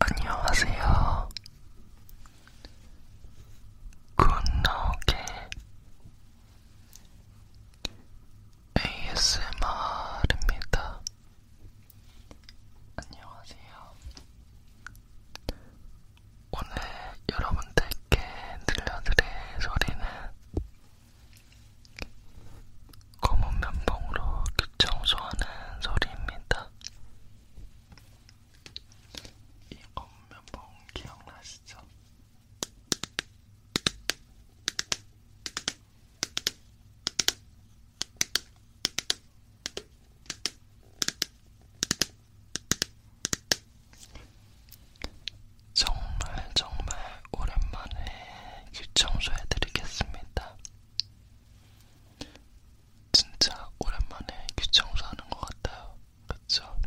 안녕하세요. 굿노게 ASMR입니다. 안녕하세요. 오늘 여러분들께 들려드릴 소리는 검은 면봉으로 귀 청소하는 소리입니다. 이 검은 면봉 기억나시죠? 정말 정말 오랜만에 귀 청소해드리겠습니다. 진짜 오랜만에 귀 청소하는 것 같아요. 그쵸?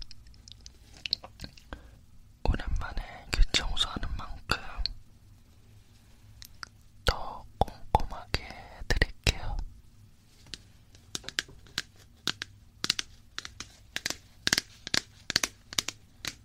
오랜만에 귀 청소하는 만큼 더 꼼꼼하게 해드릴게요.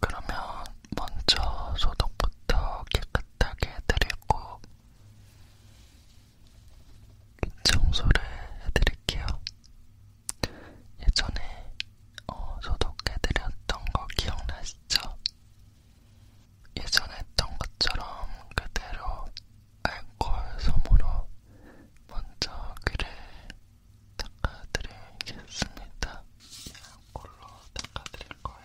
그러면 먼저 소독부터 깨끗하게 해드리고 청소를 해드릴게요. 예전에 어, 소독해드렸던 거 기억나시죠? 예전에 했던 것처럼 그대로 알코올 솜으로 먼저 귀를 닦아드리겠습니다. 골로 닦아드릴 거예요.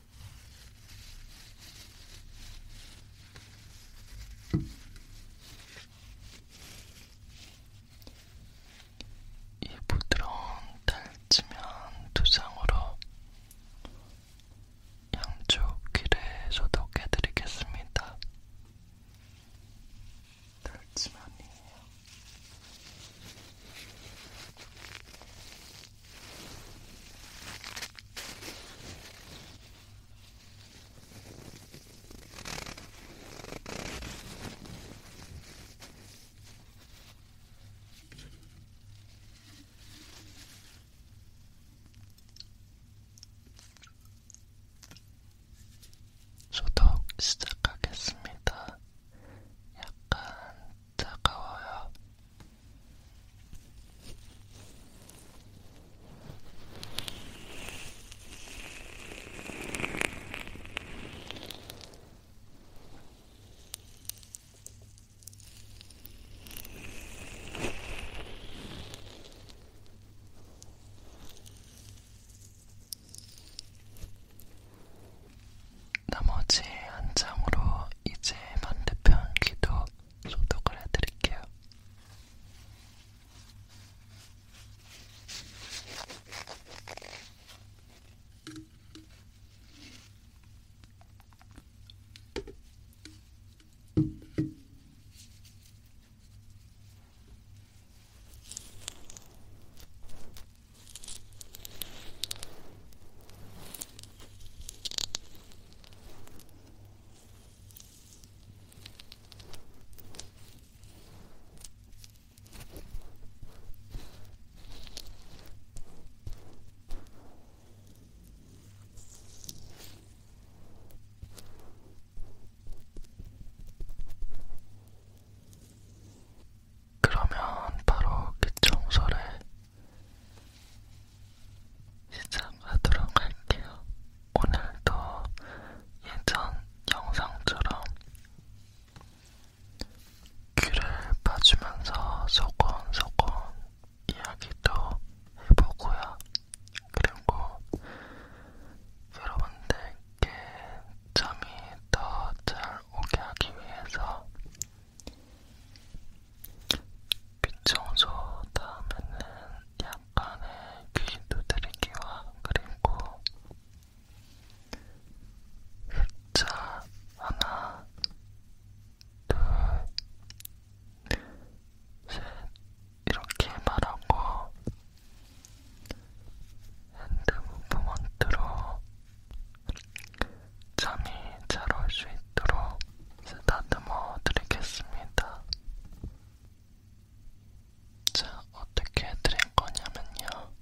이 부드러운 탈지면 두장으로 양쪽 귀를 소독해드리겠습니다. 탈지면이에요. 소독 시작하겠습니다. 약간 차가워요. 나머지 한 장으로 이제 반대편 귀도 소독을 해드릴게요. 그러면 바로 그 청소를 시작하도록 할게요. 오늘도 예전 영상처럼 귀를 봐주면서 소곤소곤 이야기도 해보고요. 그리고 여러분들께 잠이 더 잘 오게 하기 위해서 귀청소 다음에는 약간의 귀 두드리기와 그리고 숫자 하나, 둘, 셋 이렇게 말하고 핸드 무브먼트로 잠이 잘 올 수 있도록 쓰다듬어 드리겠습니다. 자, 어떻게 해드릴 거냐면요.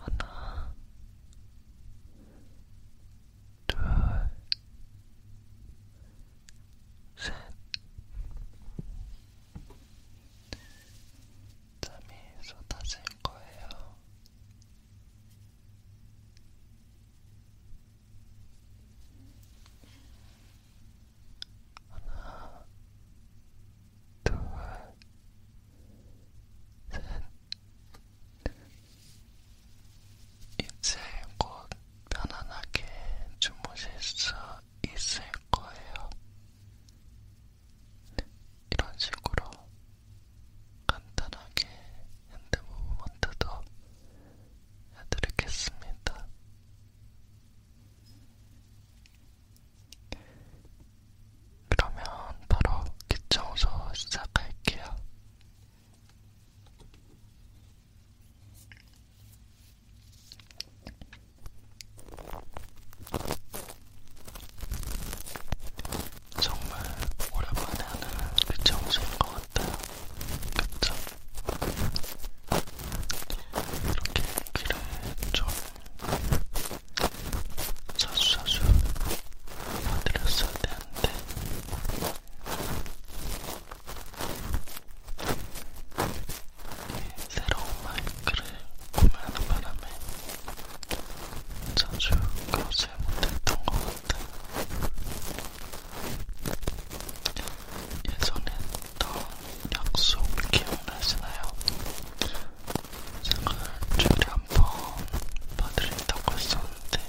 하나, 둘, 셋. 잠이 쏟아질 거예요. 하나, 둘, 셋. 이제 곧 편안하게 주무실 수 있을 거예요. 이런 식으로 간단하게 핸드 무브먼트도 해드리겠습니다. 그러면 바로 기청소 시작할게요. 정말 오랜만에 하는 그 정신인 것 같아요. 그쵸? 이렇게 귀를 좀 자주자주 만들었어야 되는데 이 새로운 마이크를 구매하는 바람에 자주 가서 잘못했던 것 같아. 예전에 했던 약속 기억나시나요? 제가 일주일에 한번 봐드린다고 했었는데,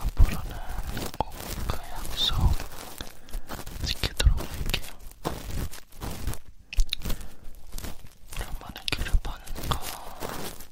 앞으로는 꼭 그 약속 지키도록 할게요. 오랜만에 길을 파는 거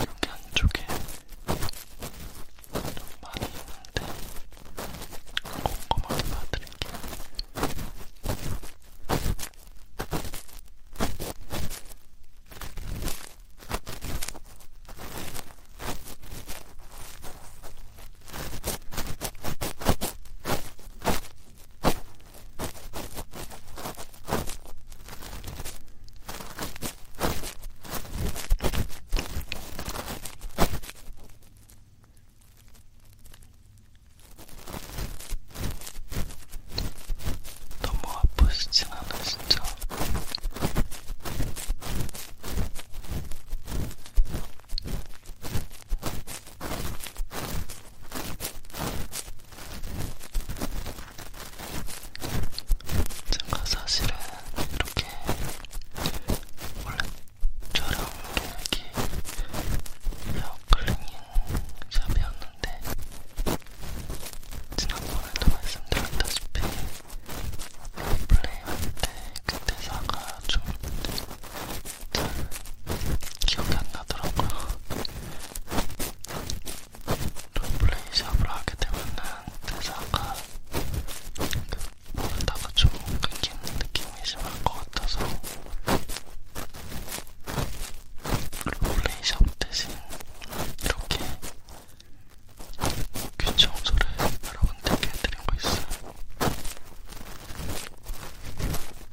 여기 안쪽에 좀 많이 있는데 꼼꼼하게 봐드릴게요. 이렇게 너무 뭐 아프시진 않으시죠? 제가 사실은 이렇게 원래 저랑 여기 헤어클리닝 샵이었는데 지난번에도 말씀드렸다시피 플레이할 때 그때 사가 좀 잘 기억이 안 나더라고요. 롤플레이샵을 하게 되면은 대사가 모르다가 그 좀 끊기는 느낌이 심할 것 같아서 롤플레이샵 대신 이렇게 귀 청소를 여러분들께 해드린 거 있어요.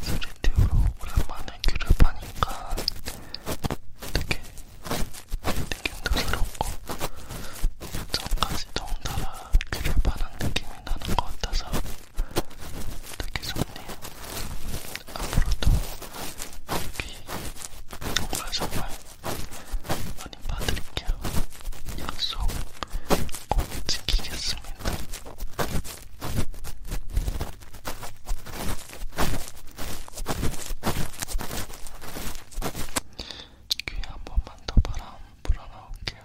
스튜디오로 오랜만에 귀를 파니까 되게 느낌도 새롭고 전까지 덩달아 귀를 파는 느낌이 나는 것 같아서 되게 좋네요. 앞으로도 귀 정말 정말 많이 봐드릴게요. 약속 꼭 지키겠습니다. 귀에 한 번만 더 바람 불어넣을게요.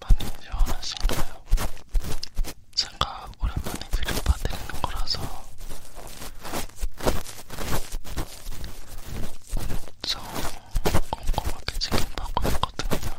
맞는지 알았을까요? 제가 오랜만에 그림 봐드리는 거라서 엄청 꼼꼼하게 지금 하고 있거든요.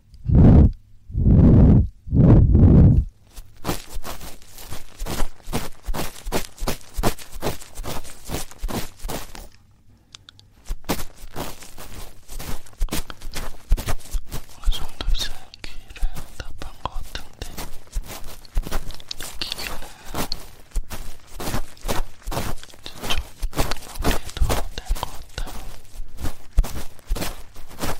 어느 정도 이제 귀를 답한 것 같은데 귀는 이제 좀 마무리해도 될것 같아요.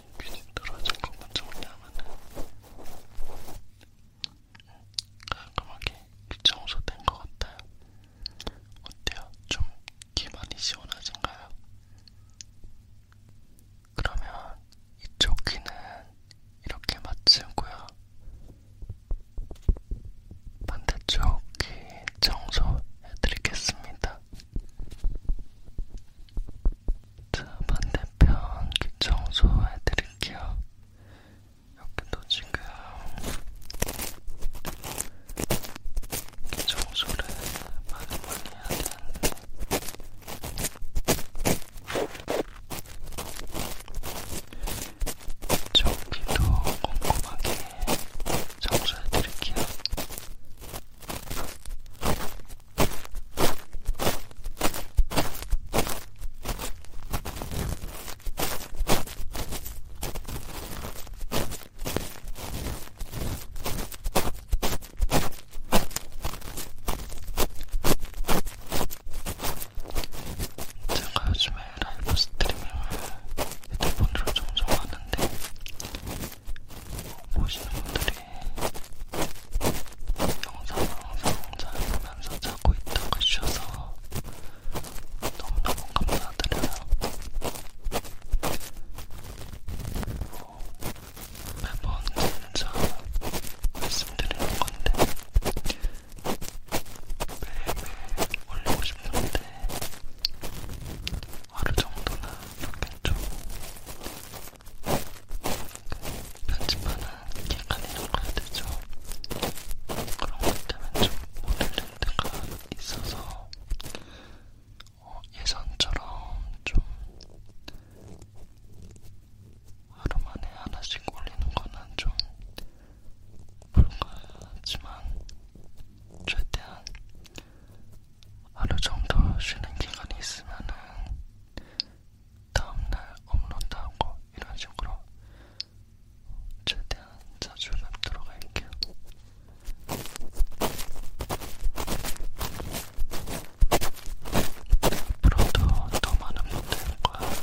괜히 떨어진 거 먼저 올려면은 깔끔하게 청소된 것 같아요. 어때요? 좀기 많이 시원하신가요? 그러면 이쪽 귀는 이렇게 맞추고요. 반대쪽 귀 청소해드리겠습니다. 자, 반대편 귀 청소해드릴게요. 여기도 지금 귀 청소를 많이 많이 해야 되는데 저기도 꼼꼼하게 청소해드릴게요. 제가 요즘에 라이브 스트리밍을 핸드폰으로 종종 하는데 보시는 분들이 영상을 항상 잘 보면서 자고 있다가 쉬어서 너무너무 감사드려요. 뭐, 매번 진짜 말씀드리는 건데 매일매일 올리고 싶은데 하루 정도는 이렇게 좀 편집하는 기간이라고 해야 되죠. 그런 것 때문에 좀 모르는 데가 있어서 어, 예전처럼 좀 하루만에 하나씩 올리는 거는 좀 불가하지만 최대한 하루 정도 쉬는 기간이 있으면은 다음날 업로드하고 이런 식으로 최대한 자주 뵙도록 할게요. 앞으로도 더 많은 분들과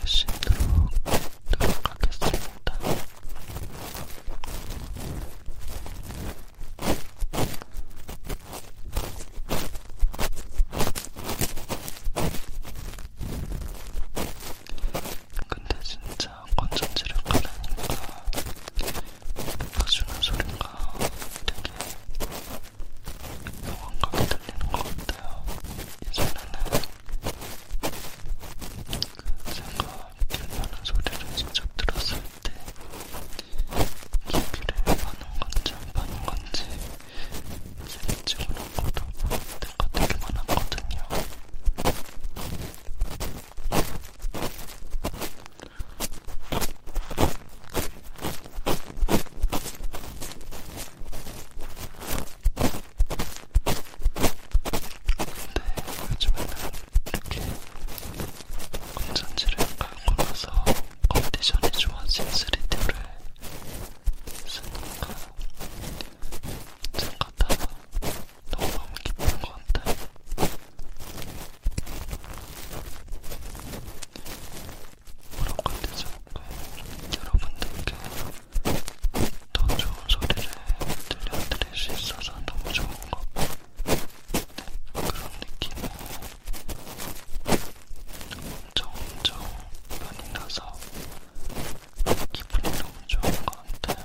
계시도록 노력하겠습니다. 근데 진짜 건전지를 깔라니까 뽑아주는 소리가 되게 영원감이 들리는 것 같아요. 예전에는 그 제가 길나는 소리를 직접 들었을 때 기기를 파는 건지 안 파는 건지 세미치고난 것도 내가 되게 많았거든요. 근데 요즘에는 건전지를 깔고 나서 컨디션이 좋아진 3D를 쓰니까 잠깐 다가 너무너무 기쁜 것 같아요. 뭐라고 해야 되죠? 여러분들께 더 좋은 소리를 들려드릴 수 있어서 너무 좋은 것 같아요. 네, 그런 느낌을 정정 편이라서 기분이 너무 좋은 것 같아요.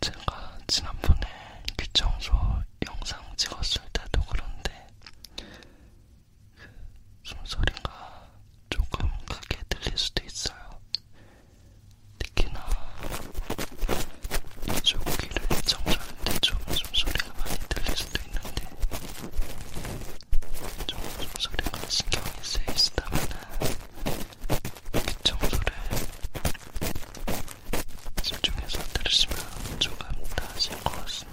제가 지난번에 귀청소 영상 찍었을 때도 그런데 그 숨소리가 조금 크게 들릴 수도 있어요. 특히나 이쪽 귀를 정전할 때좀 숨소리가 많이 들릴 수도 있는데 좀 숨소리가 신경이 쓰이시다면은 귀청소를 그 집중해서 들으시면 조금 나아질 것 같습니다.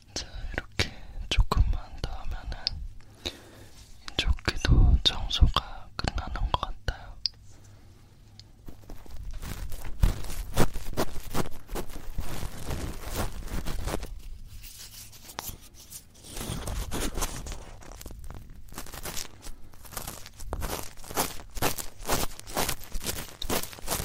자, 이렇게 조금만 더 하면은 이쪽 귀도 청소가 끝나는 것 같아요.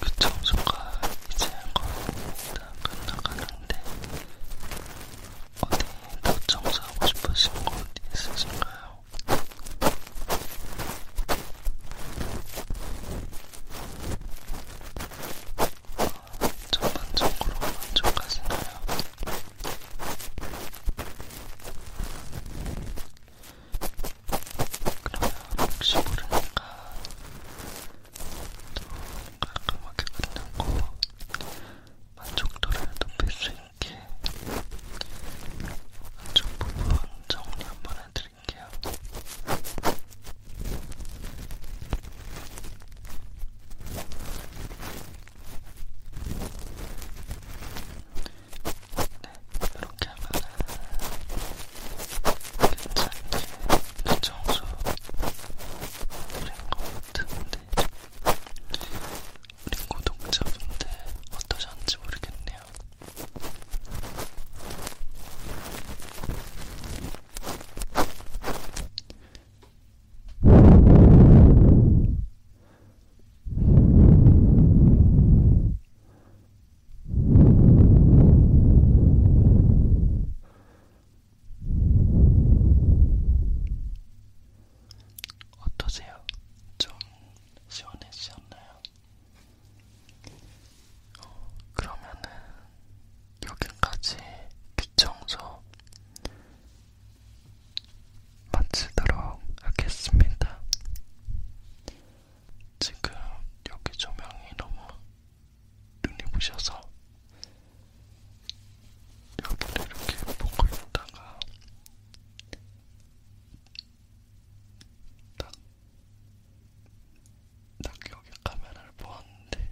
그 청소가 이제 거의 다 끝나가는데 어디 더 청소하고 싶으신 곳 있으신가요? 전반적으로 만족하시나요? 그러면 혹시 모르니까 또 깔끔하게 끝내고 만족도를 높일 수 있게 안쪽 부분 정리 한번 해드릴게요. 보여드릴게요. 네, 이렇게 하면은 괜찮게 그 정수 드린 것 같은데 우리 구독자분들 어떠셨는지 모르겠네요. 어떠세요? 좀 시원해지셨나요? 어, 그러면은 여기까지 귀청소 마치도록 하겠습니다. 지금 여기 조명이 너무 눈이 부셔서 여분을 이렇게 보고 있다가 딱딱 여기 카메라를 보았는데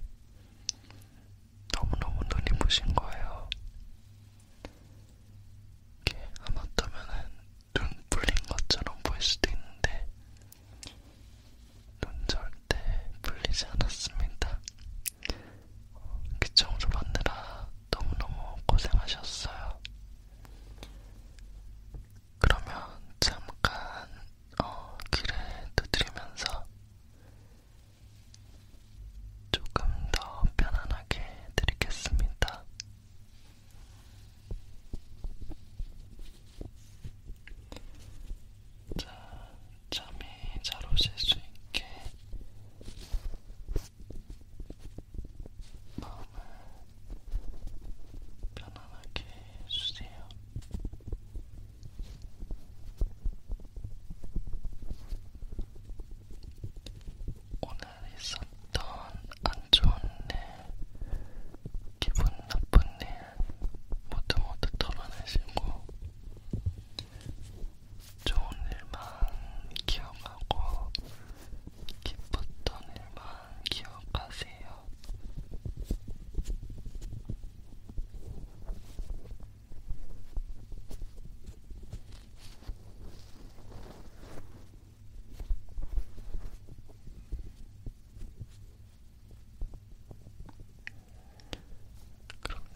너무너무 눈이 부신 거예요. 이게 아마터면은 눈 불린 것처럼 보일 수도 있는데 눈 절대 불리지 않았습니다. 귀청소 어, 받느라 그 너무너무 고생하셨어요. 그러면 잠깐 어, 귀를 두드리면서 조금 더 편안하게 드리겠습니다. 자, 잠이 잘 오실 수 있게 마음을 편안하게 해주세요. 오늘 있었던 안 좋은 일, 기분 나쁜 일 모두 모두 털어내시고 좋은 일만 기억하고 기뻤던 일만 기억하세요.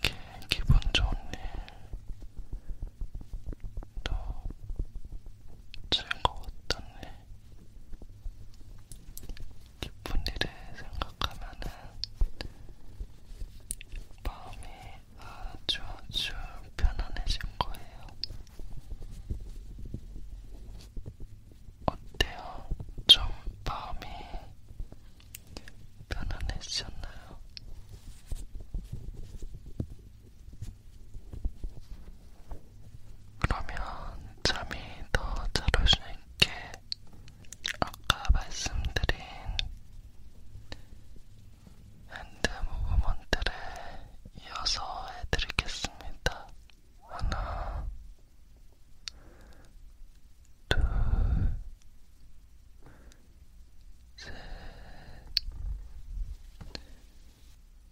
그렇게 기분 좋은 일, 또 즐거웠던 일, 기쁜 일을 생각하면은 마음이 아주 아주 편안해진 거예요. 어때요? 좀 마음이 편안해지셨나요? 그러면 잠이 더잘올 수있게 아까 말씀드린 핸드 무브먼트를 이어서 해드리겠습니다. 하나, 둘, 셋,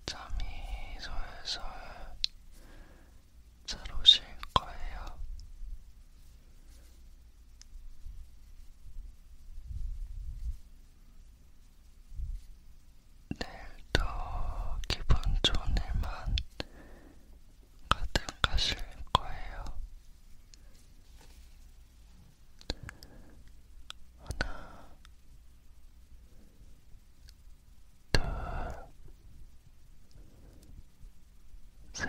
잠이 솔솔 잘 오실 거예요. 내일도 기분 좋은 일만 가득하실 거예요. 하나, 둘, 셋,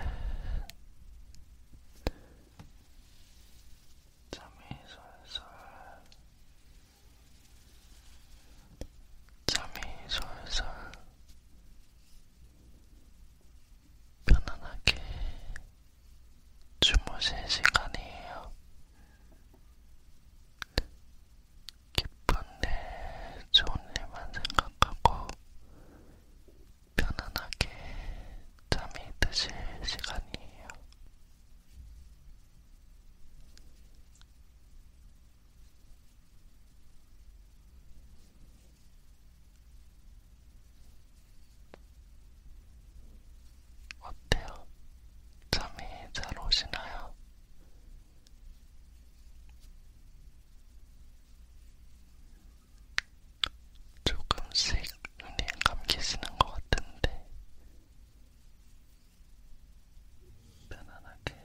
잠이 솔솔, 잠이 솔솔, 편안하게 주무실 시간이에요. 기쁜 일, 좋은 일만 생각하고 편안하게 잠이 드실 시간이에요. 어때요? 잠이 잘 오시나요? 조금씩 눈이 감기시는 것 같은데 편안하게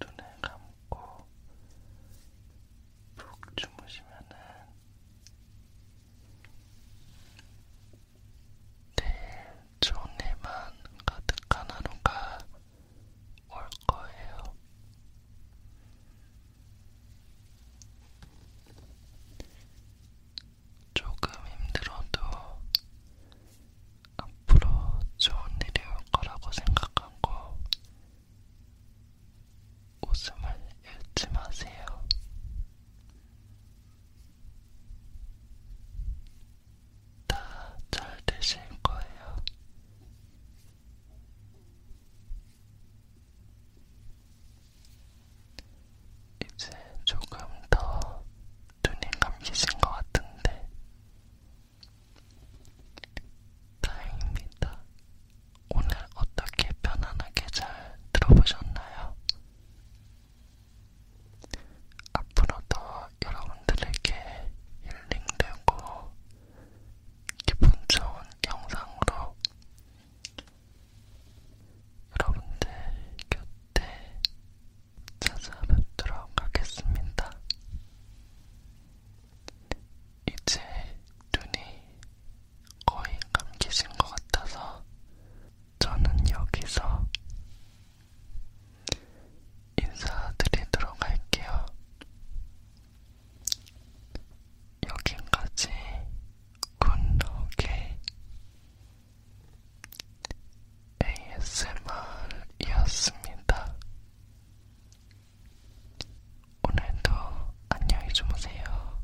눈을 감고 푹 주무시면은 내일 좋은 일만 가득한 하루가 올 거예요. 조금 힘들어도 앞으로 좋은 일이 올 거라고 생각하고 웃음을 잃지 마세요. 다잘 되실 거예요. 이제 조금 더 눈이 감기신 것 같은데 다행입니다. 오늘 어떻게 편안하게 잘 들어보셨나요? 앞으로도 여러분들에게 힐링되고 기분 좋은 영상으로 여러분들 곁에 찾아뵙도록 하겠습니다. 이제 눈이 거의 감기신 것 같아서 저는 여기서 인사드리도록 할게요. 여기까지 굿노게 ASMR이었습니다. 오늘도 안녕히 주무세요.